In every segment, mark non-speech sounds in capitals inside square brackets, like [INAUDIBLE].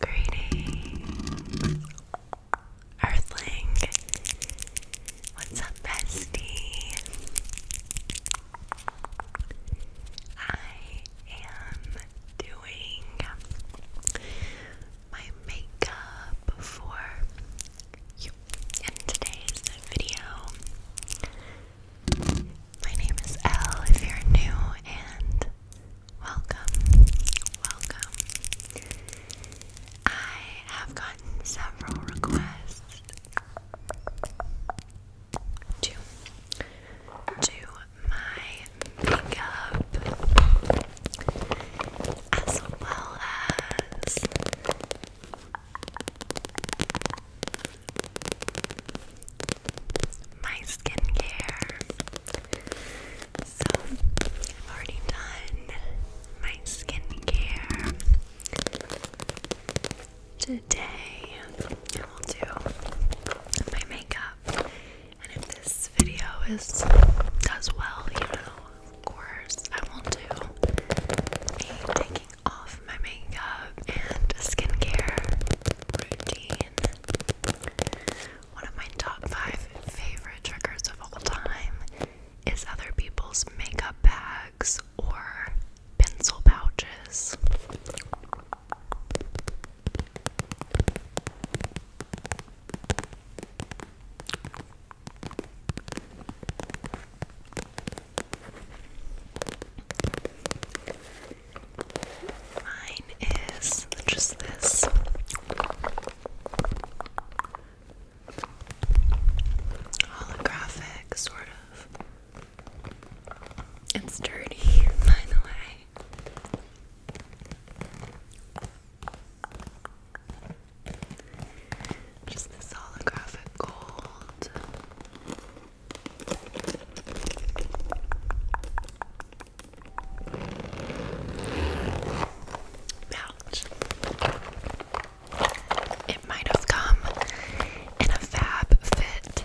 Greetings, Earthling. What's up, bestie? I am doing my makeup for today's video. My name is L. if you're new and welcome, welcome. I have gotten several requests to do my makeup as well as my skincare. So, I've already done my skincare. Today, I will do my makeup. And if this video is does well, you know, of course, I will do a taking off my makeup and skincare routine. One of my top five favorite triggers of all time is other people's makeup bags or pencil pouches. Mine is just this. Holographic, sort of. It's dirty, [LAUGHS] by the way. Just this holographic gold. Pouch. It might have come in a fab fit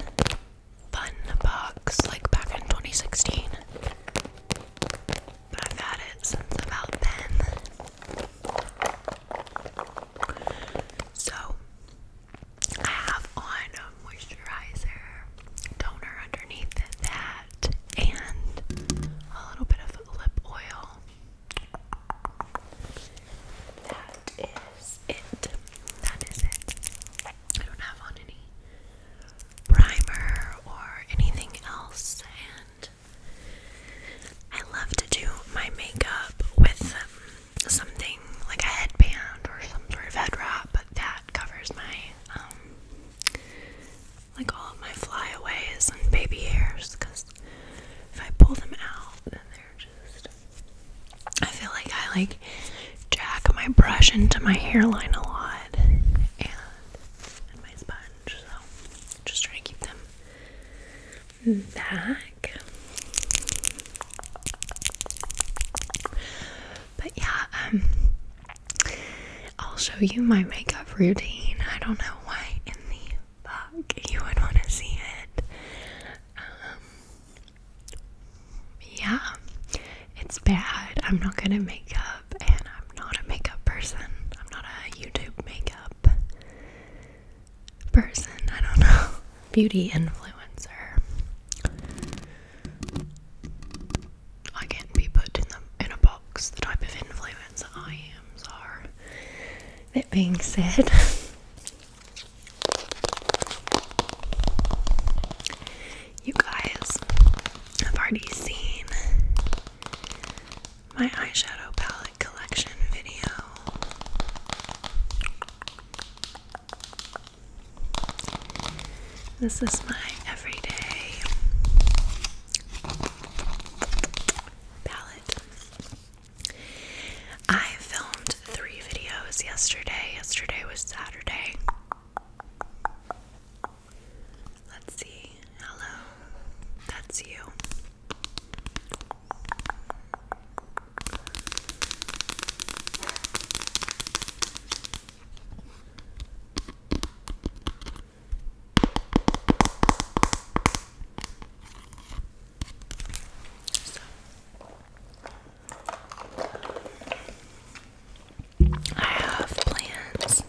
fun box like back in 2016. But I've had it since about then. So I have on a moisturizer, toner underneath that, and a little bit of lip oil. That is it. That is it. I don't have on any primer or anything else, and I love to do my makeup with um, something like a headband or some sort of head wrap that covers my um, like all of my flyaways and baby hairs because if I pull them out then they're just I feel like I like jack my brush into my hairline a lot and, my sponge so just trying to keep them back but yeah, um, I'll show you my makeup routine. I don't know why in the fuck you would want to see it. Um, yeah, it's bad. I'm not gonna make up, and I'm not a makeup person. I'm not a YouTube makeup person. I don't know beauty influencer. I can't be put in the in a box the type of influencer I am, so that being said [LAUGHS] You guys have already seen my eyeshadow palette collection video. This is my everyday palette. I filmed three videos yesterday. Yesterday was Saturday. Let's see. Hello. That's you. I have plans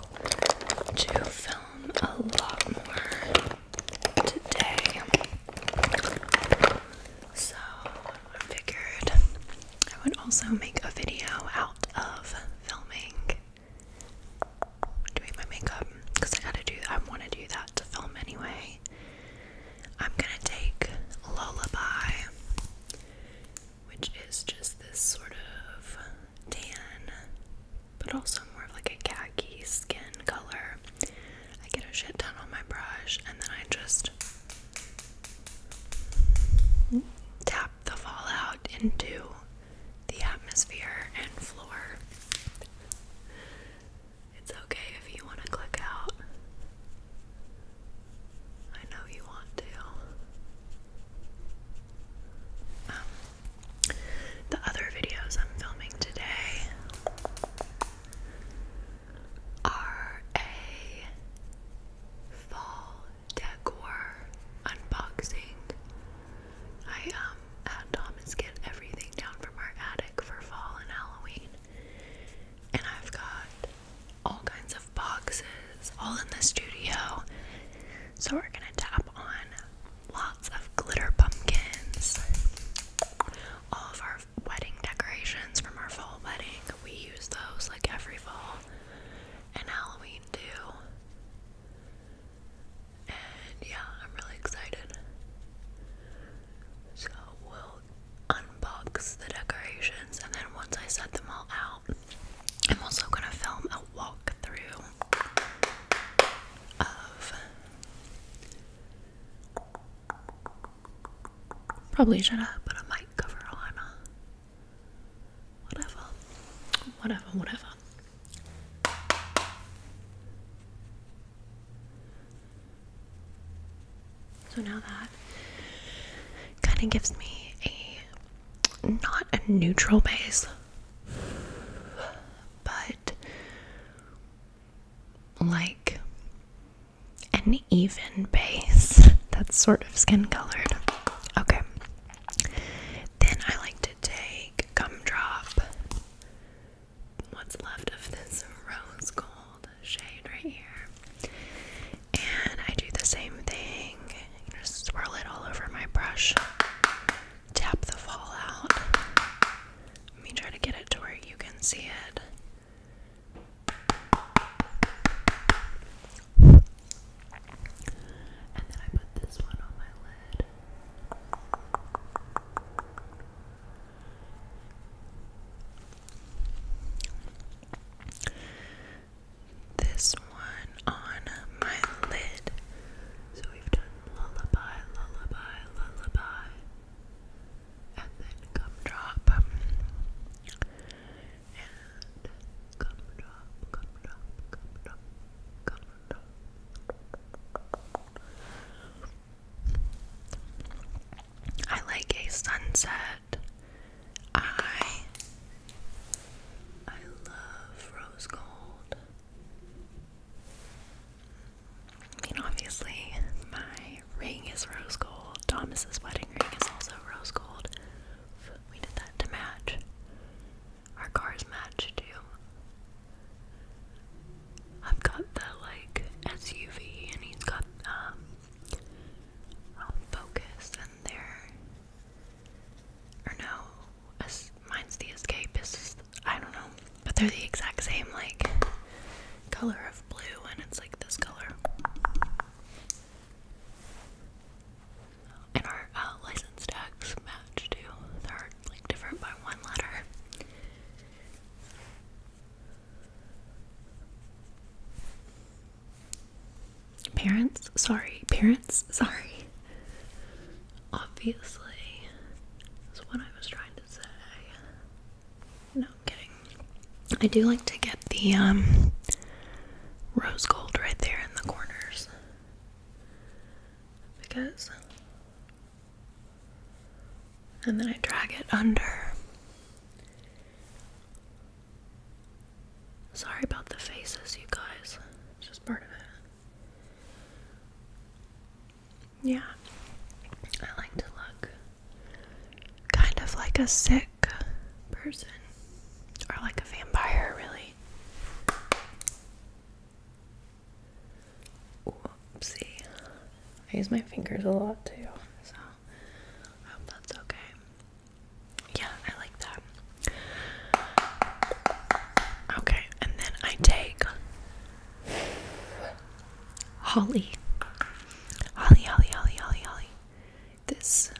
to film a lot more today. So I figured I would also make a video out of filming doing my makeup because I gotta do I want to do that to film anyway. I'm gonna take Lullaby, which is just this sort of tan, but also more of like a khaki skin color. I get a shit ton on my brush and then I just tap the fallout into the atmosphere and floor. It's okay if you want to click out. I know you want to. Um, the other videos I'm filming today are fall decor unboxing. I um had Thomas get everything down from our attic for fall and Halloween. And I've got all kinds of boxes all in the studio. So we're gonna tap on lots of glitter pumpkins, all of our wedding decorations from our fall wedding. We use those like every fall and Halloween too. And yeah, I'm really excited. So we'll unbox the decorations and then once I set them all out, I'm also gonna film a walkthrough of Probably should have but I might cover on. Whatever. Whatever, whatever. So now that kind of gives me a not a neutral base, but like an even base that's sort of skin colored. Okay. Then I like to take gumdrop. What's left of this rose gold shade right here. And I do the same thing. Just swirl it all over my brush. Tap the fallout. Let me try to get it to where you can see it. And then I put this one on my lid. This one on my lid. So we've done lullaby, lullaby, lullaby and then gumdrop, and gumdrop, gumdrop, gumdrop, gumdrop. I like a sunset. I I love rose gold. I mean, obviously, my ring is rose gold. Thomas's wedding ring is also rose gold. We did that to match. Our cars match too. I've got the like SUV, and he's got um Focus, and there. Or no, mine's the Escape. is I don't know, but they're the exact same like color of blue and it's like this color. And our uh, license tags match too. They're like different by one letter. Parents, sorry, parents, sorry. Obviously, that's what I was trying to i do like to get the um, rose gold right there in the corners because and then I drag it under. Sorry about the faces, you guys. It's just part of it. Yeah. I like to look kind of like a sick person or like a vampire, really. Whoopsie. I use my fingers a lot too, so I hope that's okay. Yeah, I like that. Okay, and then I take Holly. Holly, Holly, Holly, Holly, This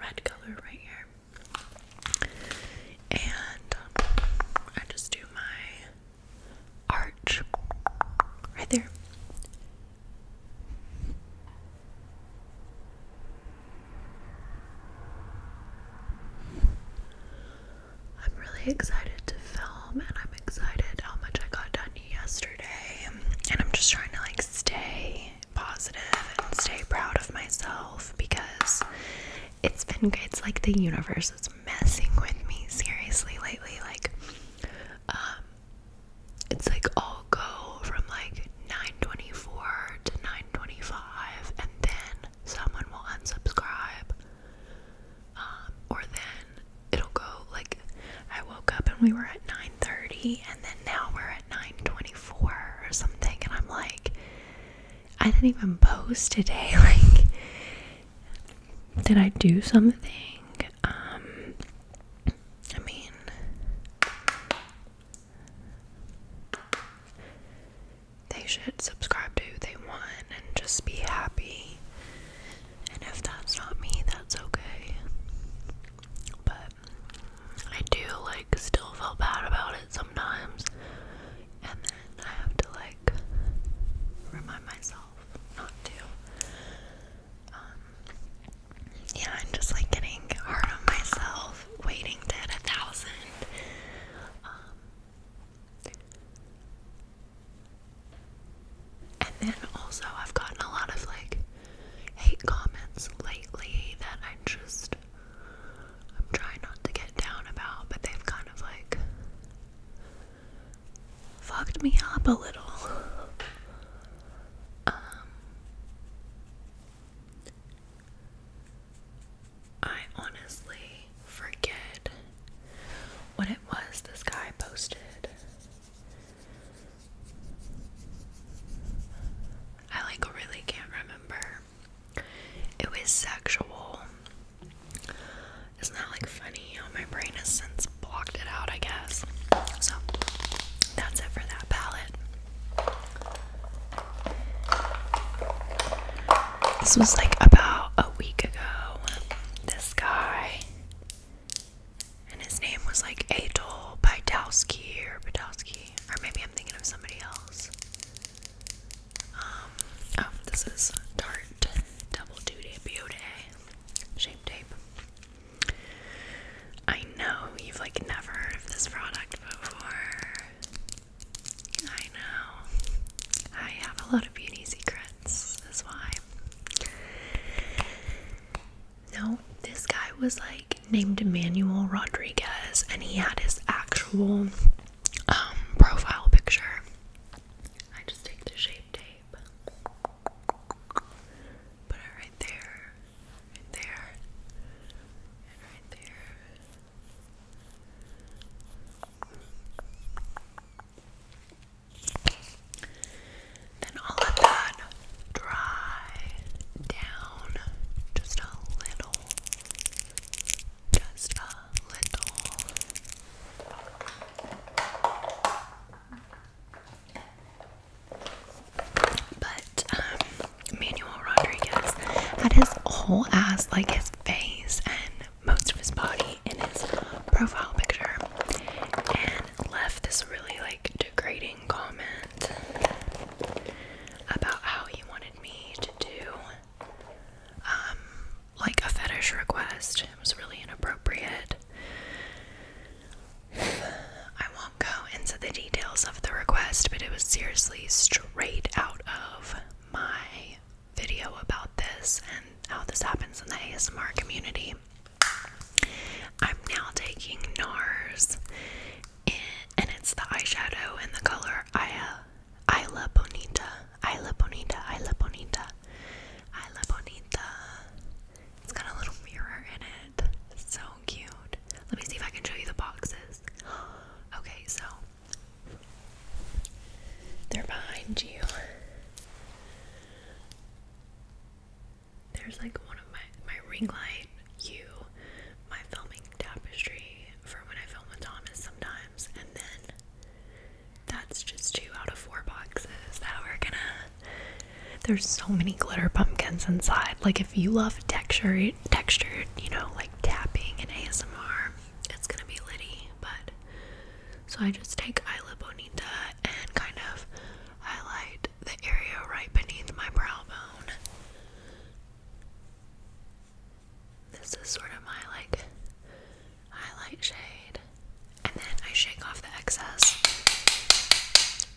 red color right here. And um, I just do my arch right there. I'm really excited to film and I'm excited how much I got done yesterday. And I'm just trying to like stay positive and stay proud of myself because it's been it's like the universe is messing with me seriously lately like um, it's like I'll go from like 924 to 925 and then someone will unsubscribe um, or then it'll go like I woke up and we were at 9:30 and then now we're at 9:24 or something and I'm like I didn't even post today [LAUGHS] like did I do something? Um, I mean they should subscribe to who they want and just be happy. And if that's not me, that's okay. But I do like still feel bad about it sometimes. And then I have to like remind myself not to. Um, yeah, I'm just like getting hard on myself, waiting to hit a thousand. Um, and then also, I've gotten a lot of like hate comments lately that I'm just, I'm trying not to get down about, but they've kind of like fucked me up a little. Um, I honestly forget what it was this guy posted. I like really can't remember. It was sexual. Isn't that like funny how my brain has since blocked it out, I guess? So that's it for that palette. This was like about a week ago. This guy, and his name was like Adol Bydowski or Bydowski, or maybe I'm thinking of somebody else. Um, oh, this is Tarte Double Duty Beauty Shape Tape. I know you've like never heard of this product before. I know. I have a lot of beauty secrets. That's why. No, this guy was like named Emmanuel Rodriguez, and he had his actual um, profile picture. I just take the shape tape, put it right there, right there, and right there. Then I'll that dry down just a little. Just a little. But, um, Manuel Rodriguez had his whole ass, like his face and most of his body in his profile picture and left this really like degrading comment about how he wanted me to do um like a fetish request. It was really inappropriate. [SIGHS] I won't go into the details of the request, but it was seriously straight out of my video about this and how this happens in the ASMR community. I'm now taking NARS, and it's the eyeshadow in the color Isla, Isla Bonita. Isla Bonita, Isla Bonita, Isla Bonita. It's got a little mirror in it. It's so cute. Let me see if I can show you the boxes. [GASPS] Okay, so they're behind you. There's like one of my my ring light, you, my filming tapestry for when I film with Thomas sometimes, and then that's just two out of four boxes that we're gonna. There's so many glitter pumpkins inside. Like if you love texture, textured, you know, like tapping and ASMR, it's gonna be litty, but so I just take Isla Bonita and kind of highlight the area right beneath my brow bone. This is sort of my like highlight shade, and then I shake off the excess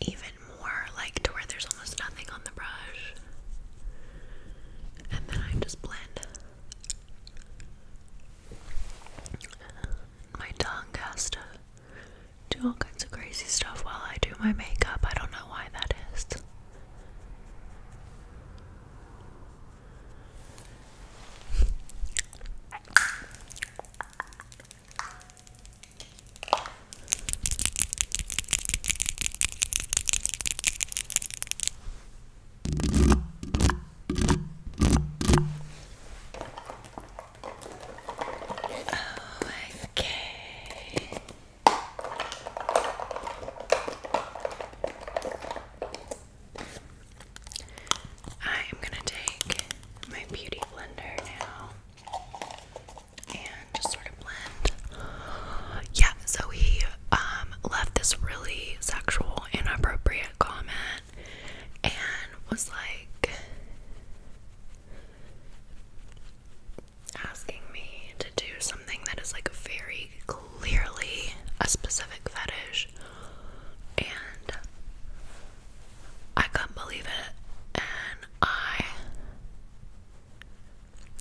even more, like to where there's almost nothing on the brush, and then I just blend. My tongue has to do all kinds of crazy stuff while I do my makeup. I don't know why that is okay. I am going to take my beauty blender now and just sort of blend. Yeah, so he um, left this really sexual inappropriate comment and was like asking me to do something that is like very clearly a specific fetish and I couldn't believe it and I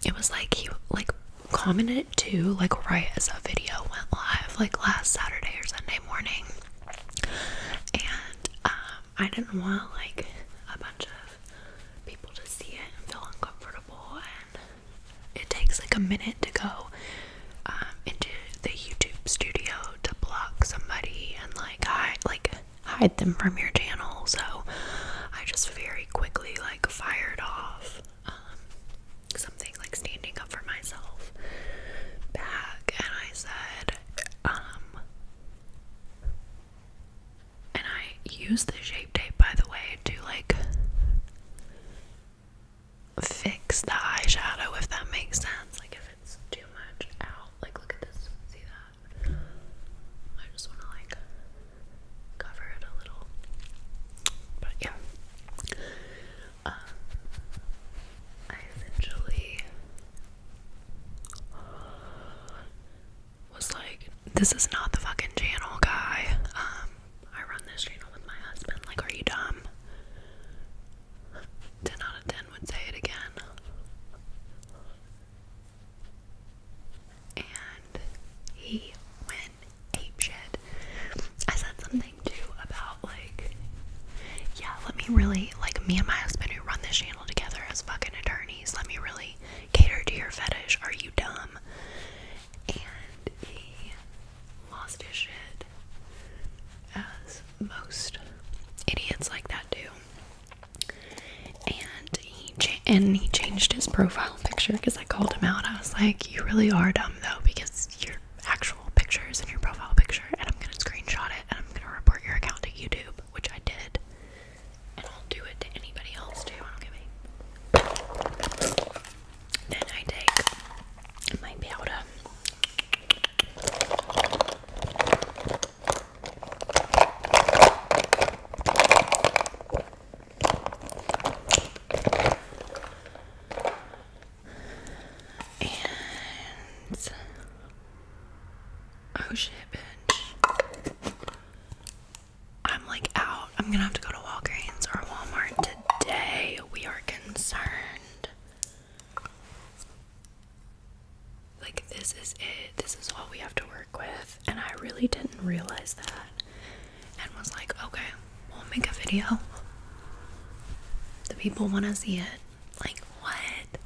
it was like he like commented too like right as that video went live like last Saturday or Sunday morning and um I didn't want like a bunch of people to see it and feel uncomfortable and it takes like a minute to go um, into the YouTube studio to block somebody and like hide like hide them from your channel so I just very quickly like fired off um, something like standing up for myself back, and I said, um, and I used the shape tape, by the way, to like fix the eyeshadow if that makes sense. Like, if it's too much out, like, look at this, see that? I just want to like cover a little. But yeah. Uh, I essentially was like, this is not the fucking channel, guy. Um, I run this channel with my husband. Like, are you dumb? 10 out of 10 would say it again. And he went ape I said something too about like, yeah, let me really like me and my husband who run this channel together as fucking attorneys. Let me really cater to your fetish. Are you dumb? And he lost his shit, as most idiots like that do. And he and he changed his profile picture because I called him out. I was like, You really are dumb though, because your actual picture is in your profile picture, and I'm gonna screenshot it and I'm gonna report your account to YouTube, which I did. And I'll do it to anybody else too. I Then I take and oh shit, bitch. I'm like out. I'm gonna have to go to Walgreens or Walmart today. We are concerned. Like, this is it. This is all we have to work with. And I really didn't realize that and was like, okay, we'll make a video. The people want to see it. Like, what?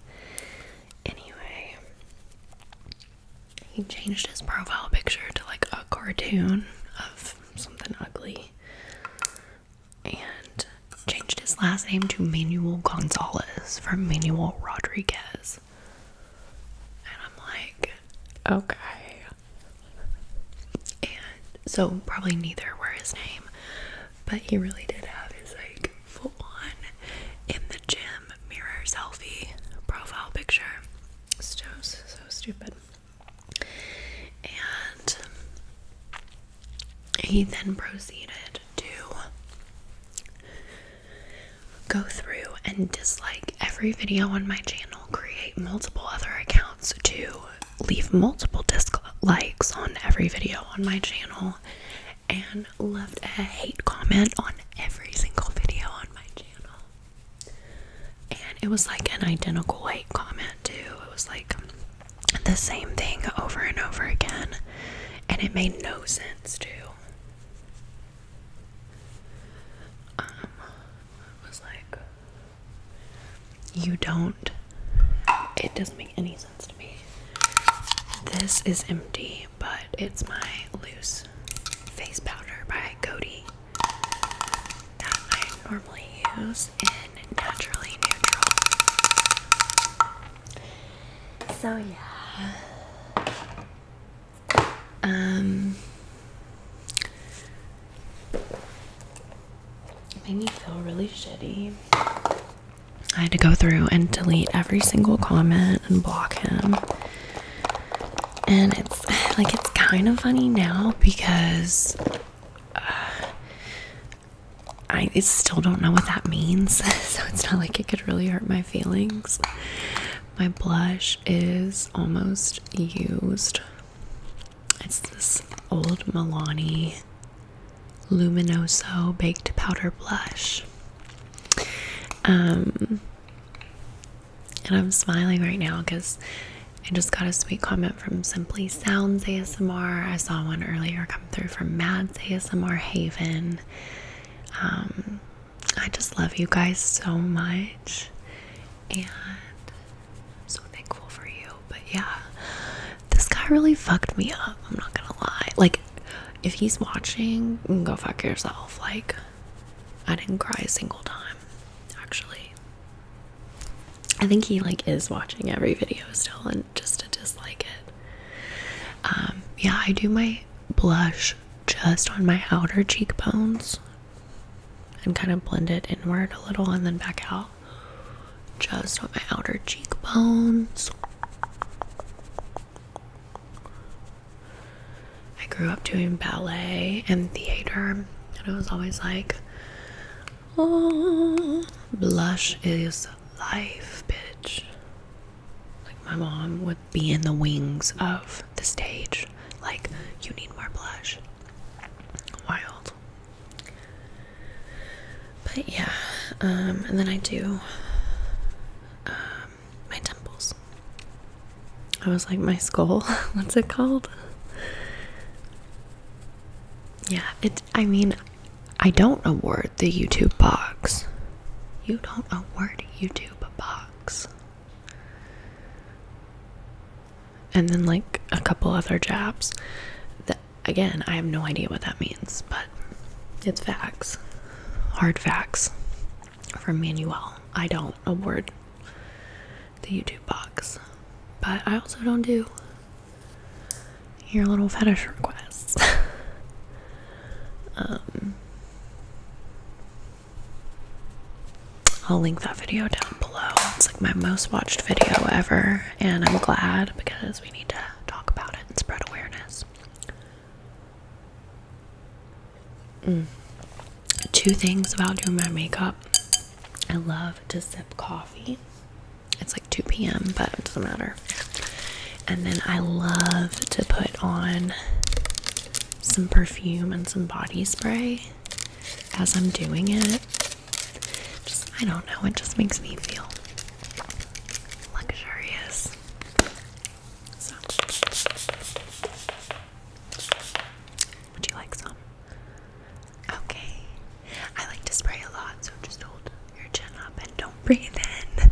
Anyway, he changed his profile picture to like a cartoon of something ugly and changed his last name to Manuel Gonzalez from Manuel Rodriguez. And I'm like, okay, and so probably neither were his name, but he really did have his like full on in the gym mirror selfie profile picture. So so stupid. And he then proceeded to go through and dislike every video on my channel create multiple other accounts to leave multiple dislikes on every video on my channel, and left a hate comment on every single video on my channel. And it was like an identical hate comment, too. It was like the same thing over and over again, and it made no sense, too um it was like you don't it doesn't make any sense to me this is empty but it's my loose face powder by Cody that I normally use in naturally neutral so yeah um, it made me feel really shitty. I had to go through and delete every single comment and block him. And it's [SIGHS] like it's kind of funny now because uh, I still don't know what that means. [LAUGHS] so it's not like it could really hurt my feelings. My blush is almost used. It's this old Milani Luminoso Baked Powder Blush. Um, and I'm smiling right now because I just got a sweet comment from Simply Sounds ASMR. I saw one earlier come through from Mads ASMR Haven. Um, I just love you guys so much and I'm so thankful for you. But yeah, this guy really fucked me up. I'm not gonna lie. Like, if he's watching, go fuck yourself. Like, I didn't cry a single time, actually. I think he like is watching every video still and just to dislike it. Um, yeah, I do my blush just on my outer cheekbones and kind of blend it inward a little and then back out just on my outer cheekbones. I grew up doing ballet and theater, and I was always like, oh, blush is life, bitch. Like, my mom would be in the wings of the stage. Like, you need more blush. Wild. But yeah, um, and then I do um, my temples. I was like, my skull? [LAUGHS] What's it called? Yeah, it. I mean, I don't award the YouTube box. You don't award YouTube box and then like a couple other jabs again i have no idea what that means but it's facts hard facts from manuel i don't award the youtube box but i also don't do your little fetish requests [LAUGHS] um I'll link that video down below. It's like my most watched video ever, and I'm glad because we need to talk about it and spread awareness. Mm. Two things about doing my makeup I love to sip coffee, it's like 2 p.m., but it doesn't matter. And then I love to put on some perfume and some body spray as I'm doing it. Just, I don't know, it just makes me feel luxurious. would you like some? Okay. I like to spray a lot, so just hold your chin up and don't breathe in.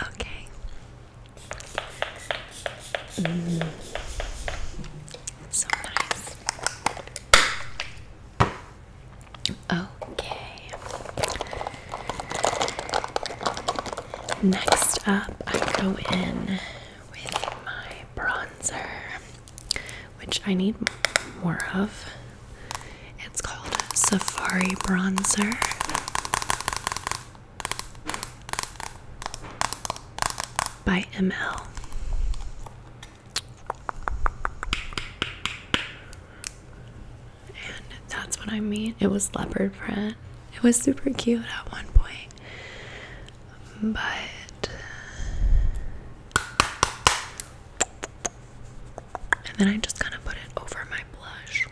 [LAUGHS] okay. Okay. Next up, I go in with my bronzer, which I need more of. It's called Safari Bronzer by ML. And that's what I mean. It was leopard print. It was super cute at one point. But and then I just kind of put it over my blush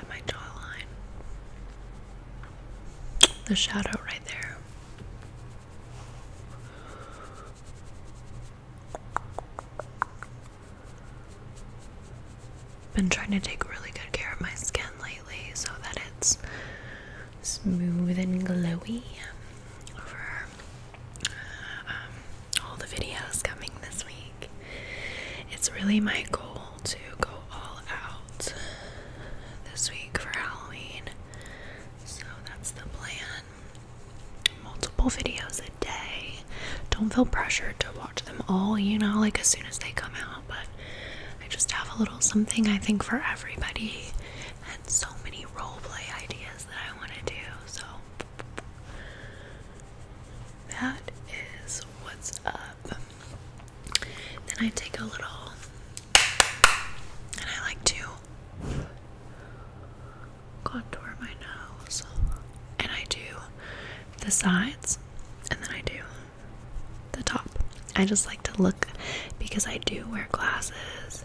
at my jawline. The shadow right there. Been trying to take really good care of my skin lately so that it's smooth and glowy for um, uh, um, all the videos coming this week it's really my goal to go all out this week for Halloween. So that's the plan. Multiple videos a day. Don't feel pressured to watch them all, you know, like as soon as they come out, but I just have a little something I think for everybody and so many role ideas that I want to do. So that is what's up. Then I take a little, and I like to contour my nose. And I do the sides, and then I do the top. I just like to look because I do wear glasses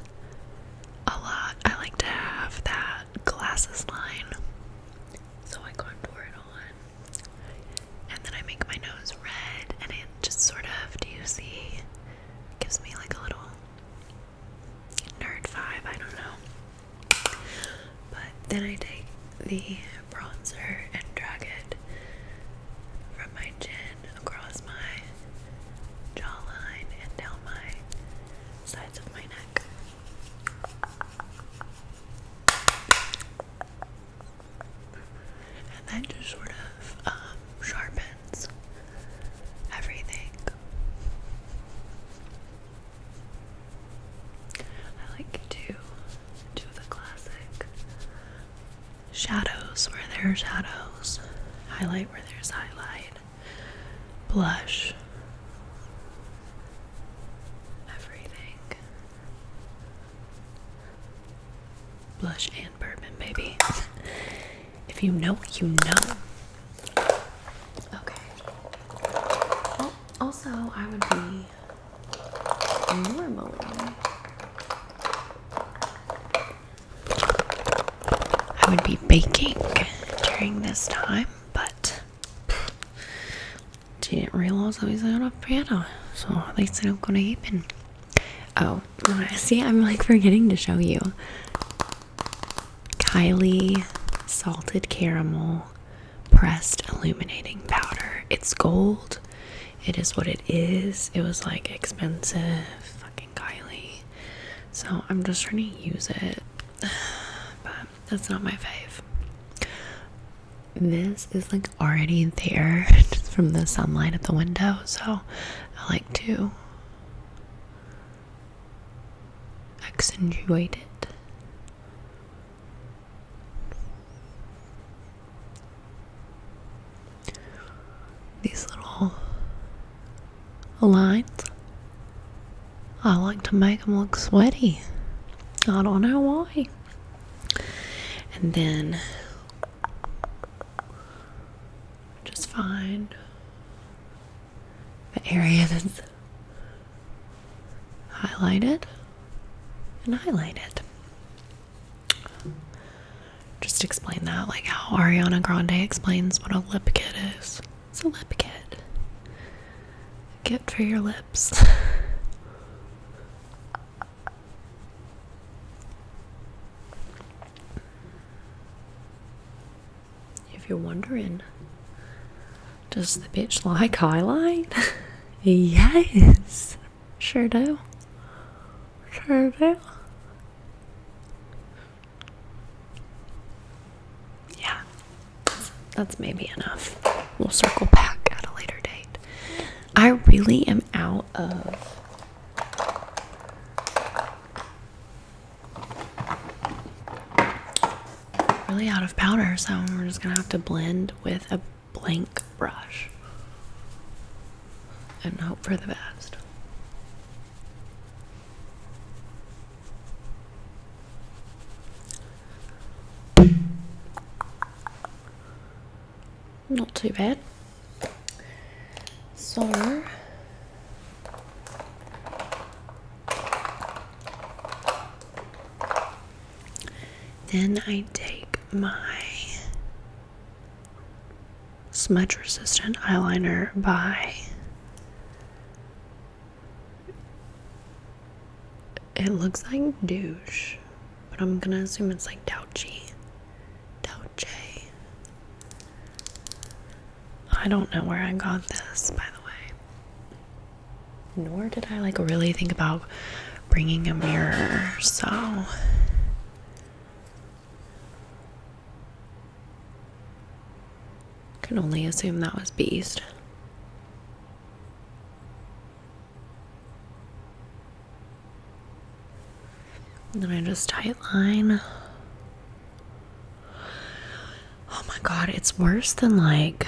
a lot. I like to have that glasses line. So I contour it on and then I make my nose red, and it just sort of, do you see, gives me like a little nerd vibe, I don't know. But then I take the bronzer and drag it from my chin across my jawline and down my sides of my neck and that just sort of um, sharpens everything. I like to do the classic shadows where there's shadows, highlight where there's highlight, blush everything. Blush and bourbon, baby. [LAUGHS] if you know, you know. Okay. also, I would be normally. I would be baking during this time, but didn't realize I was on a powder, so they said that's not gonna happen. Oh, see, I'm like forgetting to show you Kylie Salted Caramel Pressed Illuminating Powder. It's gold, it is what it is. It was like expensive, fucking Kylie. So I'm just trying to use it, [SIGHS] but that's not my fave. This is like already there [LAUGHS] from the sunlight at the window, so I like to accentuate it. These little lines, I like to make them look sweaty. I don't know why and then just find the area that's highlighted and highlight it. Just explain that, like how Ariana Grande explains what a lip kit is. It's a lip kit get for your lips. [LAUGHS] if you're wondering, does the bitch like highlight? [LAUGHS] yes, sure do. Sure do. Yeah, that's maybe enough. We'll circle back at a later date. I really am out of really out of powder, so we're just gonna have to blend with a blank brush and hope for the best. Not too bad. So then I take my smudge resistant eyeliner by it looks like douche, but I'm gonna assume it's like Douchy. Douchy. I don't know where I got this, by the way. Nor did I like really think about bringing a mirror, so. Can only assume that was Beast then I just tight line. Oh my god, it's worse than like.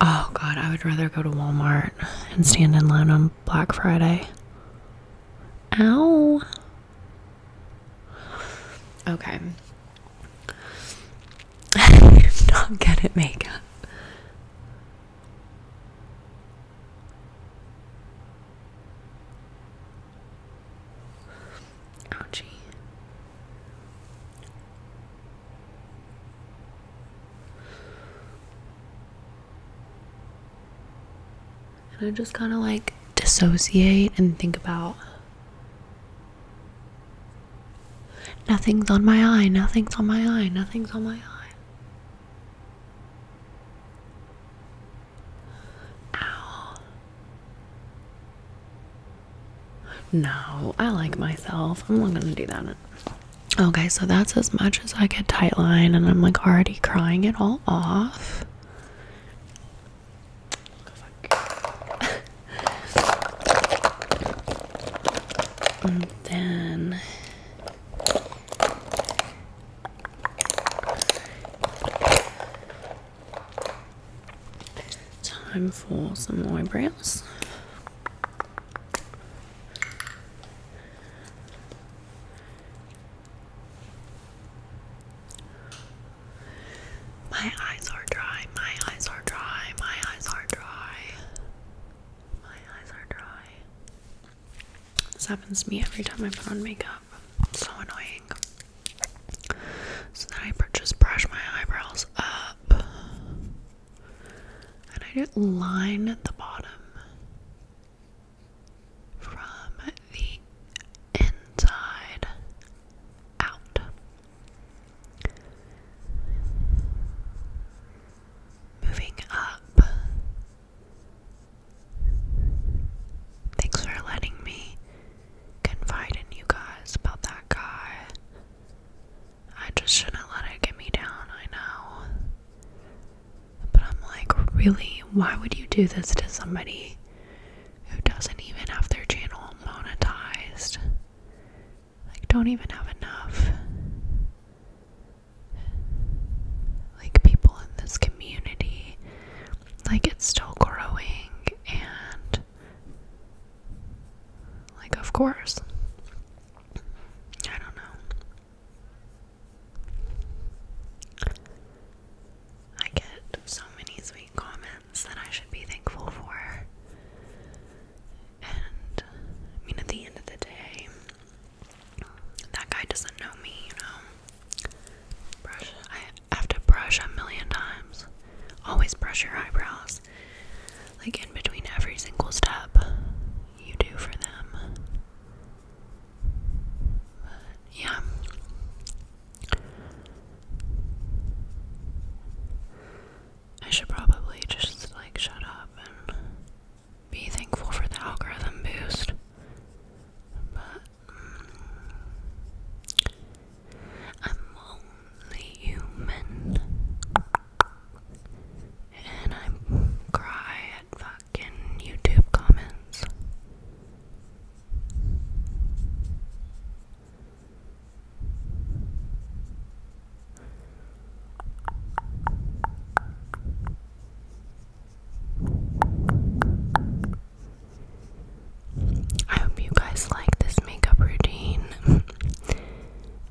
Oh god, I would rather go to Walmart and stand in line on Black Friday. Ow. Okay. I'm not good at makeup. Ouchie. And I just kind of like dissociate and think about Nothing's on my eye, nothing's on my eye, nothing's on my eye. Ow. No, I like myself. I'm not gonna do that. Okay, so that's as much as I could tightline, and I'm like already crying it all off and then time for some eyebrows. My eyes are dry, my eyes are dry, my eyes are dry. My eyes are dry. This happens to me every time I put on makeup. so annoying. So then I just brush my eyebrows up. And I just line at the bottom from the inside out. Moving up. Thanks for letting me confide in you guys about that guy. I just shouldn't let it get me down, I know. But I'm like, really? Why would you do this to somebody? who doesn't even have their channel monetized. Like, don't even have enough. Like, people in this community, like, it's still growing, and, like, of course. I don't know. I get so many sweet comments that I should be thankful for. And I mean, at the end of the day, that guy doesn't know me, you know. Brush, I have to brush a million times. Always brush your eyebrows. Like in between every single step you do for them. yeah, I should probably just like shut up and be thankful for the algorithm boost. But mm, I'm only human. And I cry at fucking YouTube comments. I hope you guys like this makeup routine. [LAUGHS]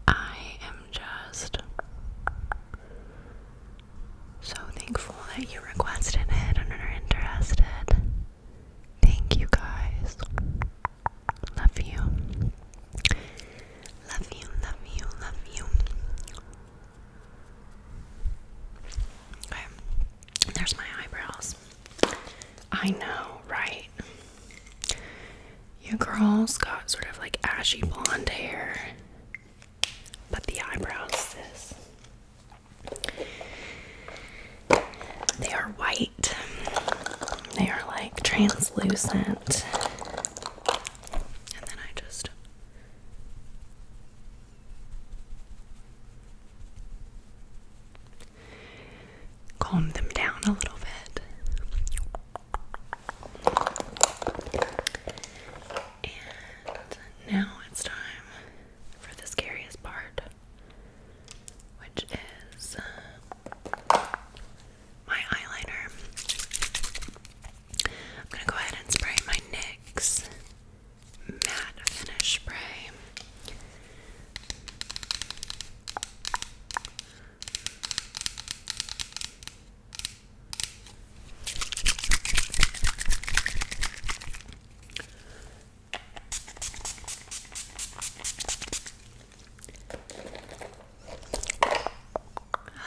I am just so thankful that you requested it and are interested. Thank you guys. Love you. Love you, love you, love you. Okay, there's my eyebrows. I know, right? Your girl's got sort of like ashy blonde hair, but the eyebrows, they are white. They are like translucent. And then I just calm them down a little bit. And now it's time for the scariest part which is uh, my eyeliner. I'm gonna go ahead and spray my NYX matte finish spray. I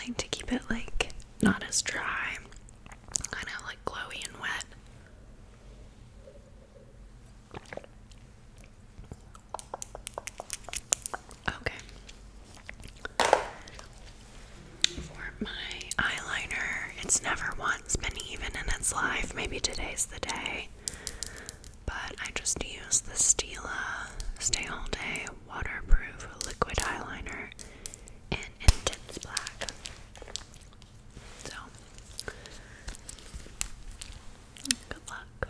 like to keep it like not as dry, kind of like glowy and wet. Okay. For my eyeliner, it's never one it has been even in its life. Maybe today's the day. But I just used the Stila Stay All Day Waterproof Liquid Eyeliner in Intense Black. So, good luck.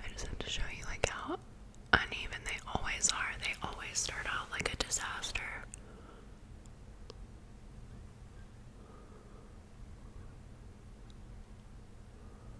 I just have to show you like how uneven they always are. They always start out like a disaster.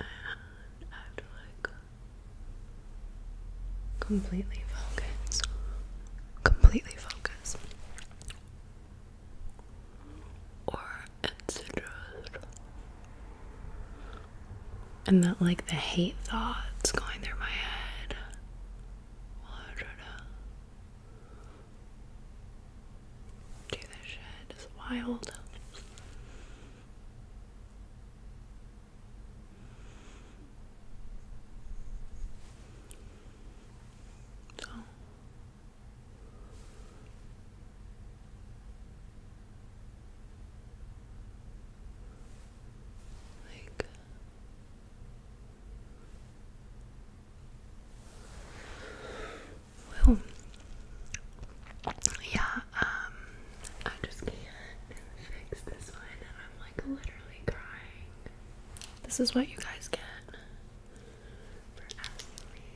I have to like completely focus, completely focus or etc. And that, like, the hate thoughts going through my head. do this shit. It's wild. So, like well, yeah, um, I just can't fix this one, and I'm like literally crying. This is what you guys get for asking me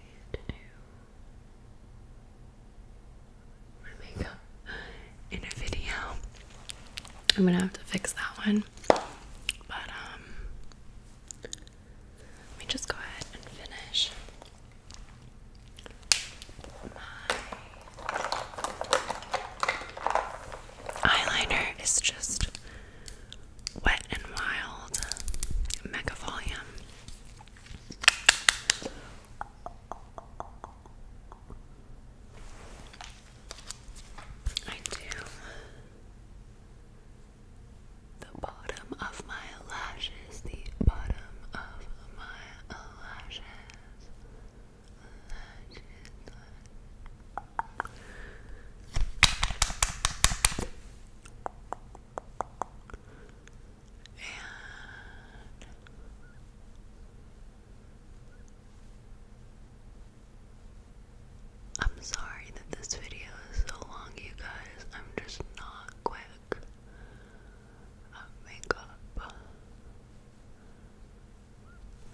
my makeup in a video. I'm gonna have to fix that one. But um let me just go ahead and finish eyeliner is just Wet and Wild Mega Volume. I do the bottom of my lashes, the bottom of my lashes. lashes, I'm sorry that this video is so long, you guys. I'm just not quick at makeup. But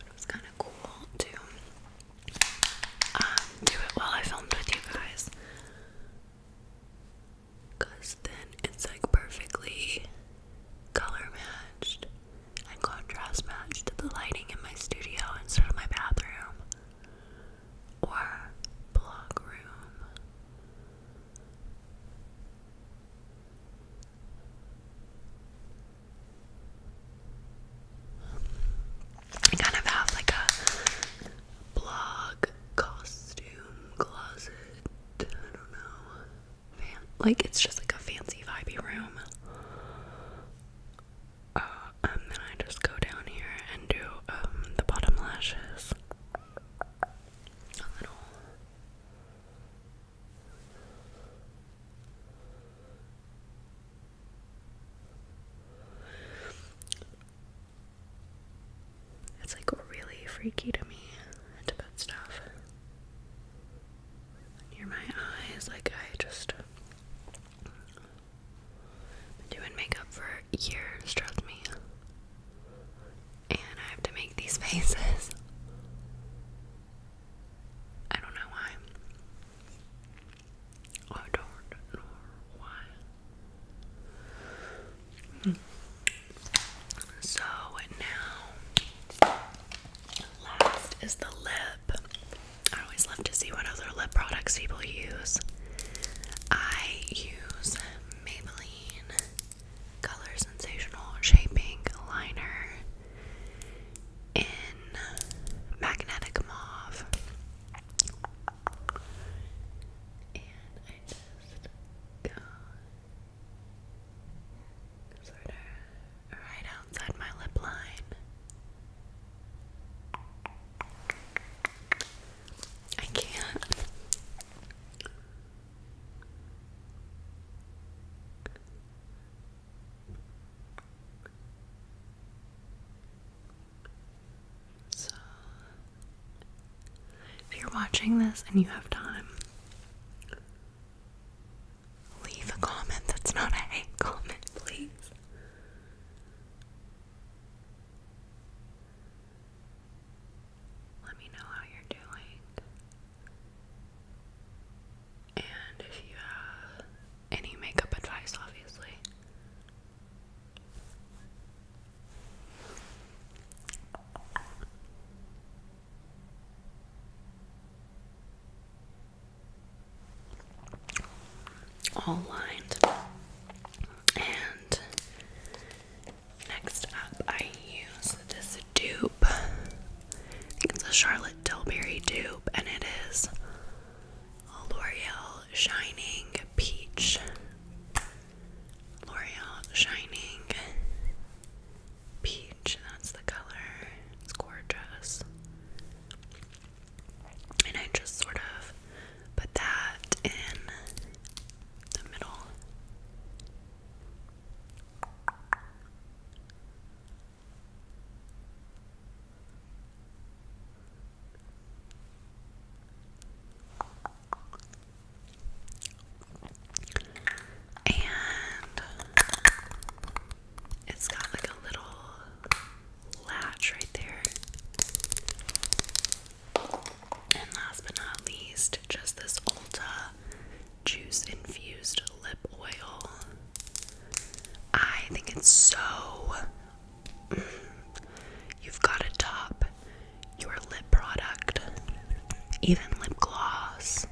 it was kind of cool to um, do it while I filmed with you guys. Because then it's like perfectly color matched and contrast matched to the lighting in my studio instead of my bathroom or blog room. I kind of have like a blog costume closet. I don't know. like it's just like a fancy vibey room. Uh, and then I just go down here and do um, the bottom lashes. It's like really freaky to me to put stuff near my eyes. Like I just doing makeup for years, trust me. And I have to make these [LAUGHS] faces. I don't know why. I don't know why. So now, last is the lip. I always love to see what other lip products people use. I use Maybelline Color Sensational Shaping Liner in Magnetic Mauve. And I just go sort of right outside my lip line. I can't. So, if you're watching this and you have time, leave a comment that's not a hate comment, please. Let me know how you're doing. And if you have any makeup advice, obviously, all lined. And next up, I use this dupe. I think it's a Charlotte Tilbury dupe, and it is L'Oreal Shining Peach. L'Oreal Shining Peach. That's the color. It's gorgeous. And I just sort of put that in the middle. And it's got like a little latch right there. And last but not least, just this Ulta juice infused lip oil. I think it's so [CLEARS THROAT] You've got to top your lip product, even lip gloss,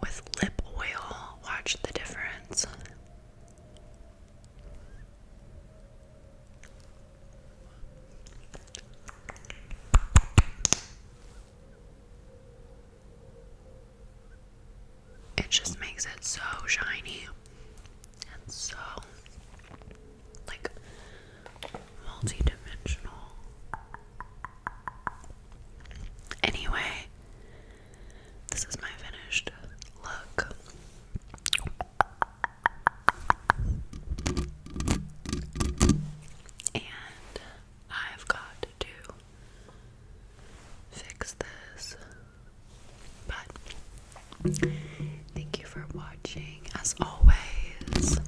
with lip oil. Watch the difference it just makes it so shiny and so like multi Anyway, this is my finished look. And I've got to fix this but thank you for watching as always.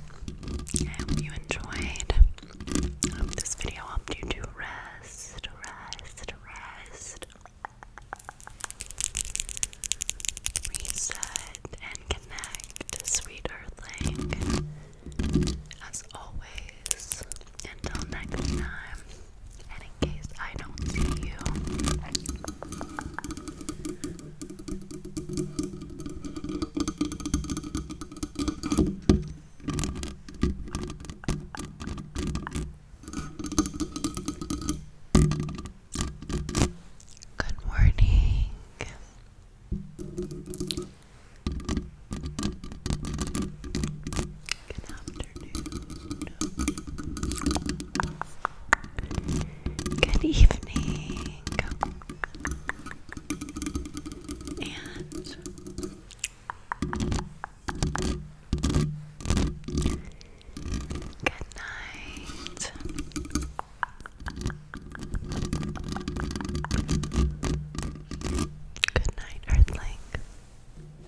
I hope you enjoyed. I hope this video helped you to rest, rest, rest. Reset and connect, sweet earthling. As always, until next time in case I don't see you, Good morning. Good afternoon. Good evening. And Good night. Good night, Earthling.